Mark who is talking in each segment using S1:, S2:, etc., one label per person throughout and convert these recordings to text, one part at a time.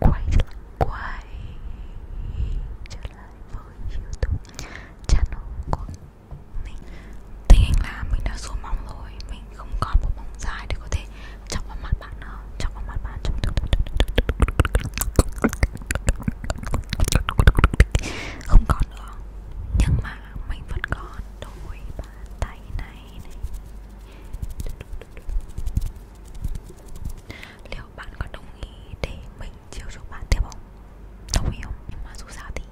S1: quay quay trở lại với youtube channel của mình tình hình là mình đã xuống móng rồi mình không còn một móng dài để có thể chọc vào mặt bạn nữa chọc vào mặt bạn chọc không còn nữa nhưng mà mình vẫn còn đôi bàn tay này Liệu bạn có đồng ý để mình chiều chuộng bạn tiếp không? Đồng ý không? Nhưng mà dù sao thì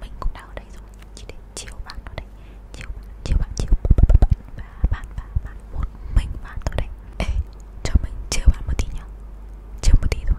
S1: mình cũng đã ở đây rồi Chỉ để chiều bạn ở đây Chiều bạn, chiều bạn, chiều bạn Và bạn, bạn, bạn, một mình bạn ở đây Ê, cho mình chiều bạn một tí nhá Chiều một tí thôi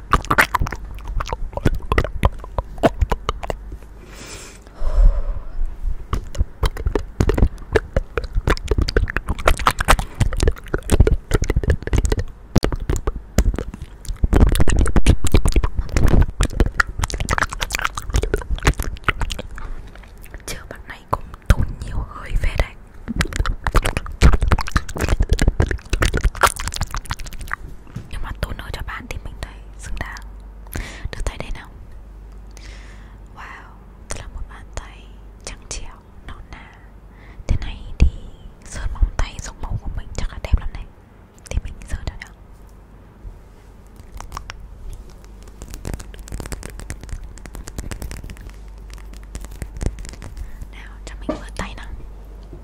S1: Chưa bạn này cũng tốn nhiều hơi về đấy nhưng mà toner cho bạn thì mình thấy xứng đáng được thấy đây nào wow thật là một bàn tay trắng trẻo non nà thế này thì sơn móng tay giống màu của mình chắc là đẹp lắm này thì mình sơn cho nhá
S2: nào cho mình vừa tay nào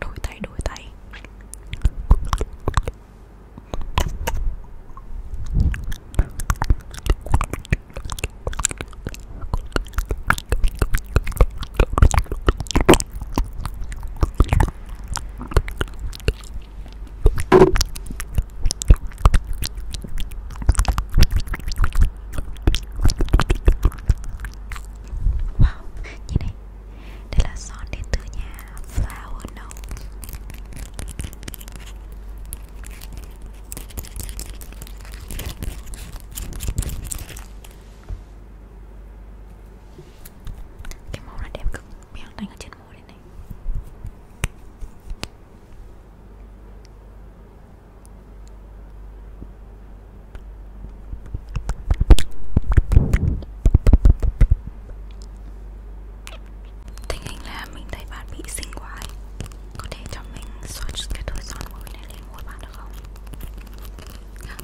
S2: đổi tay đổi tay Wow, nhìn này Đây là son đến từ nhà Flower Note cái màu này đẹp cực Miếng đánh ở trên môi đây này Tình hình là mình thấy bạn bị xinh quá ấy. Có thể cho mình swatch cái đôi son môi này lên môi bạn được không? Nào,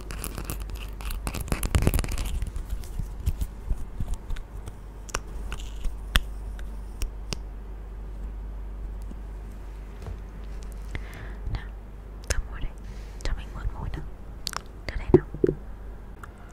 S2: cho môi đây, cho mình mượt môi nào Đưa đây nào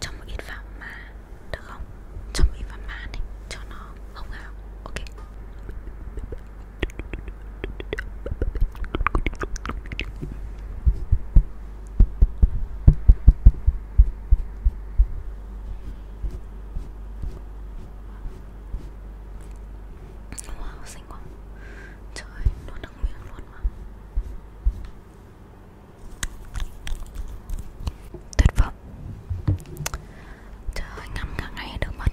S2: Cho một ít vào mà Được không? Cho một ít vào mà này Cho nó hồng hào Ok Wow, xinh quá Trời ơi, nó nâng miệng luôn mà Tuyệt vọng Trời ơi, ngắm cả ngày được mất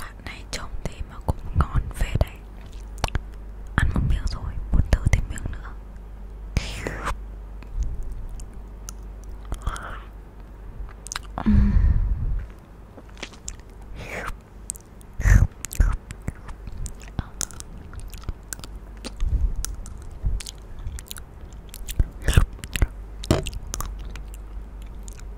S2: Bạn này trông thế mà cũng ngon về đấy Ăn một miếng rồi, muốn thử thêm miếng nữa uhm.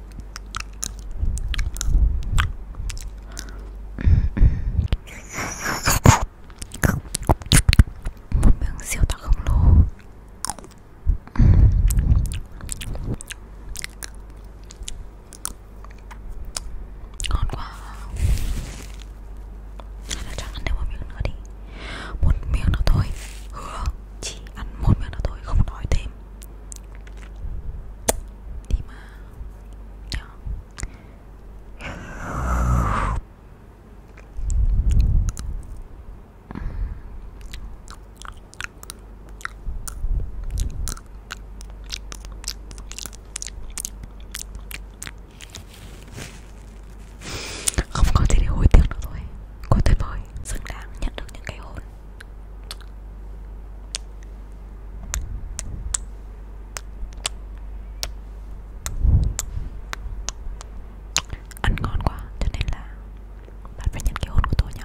S2: một miếng siêu to khổng lồ ngon quá hay là chắc ăn thêm một miếng nữa đi một miếng nữa thôi hứa chỉ ăn một miếng nữa thôi không nói thêm đi mà Nhỏ. không có gì để hối tiếc nữa rồi cô tuyệt vời xứng đáng nhận được những cái hôn ăn ngon quá cho nên là bạn phải nhận cái hôn của tôi nhá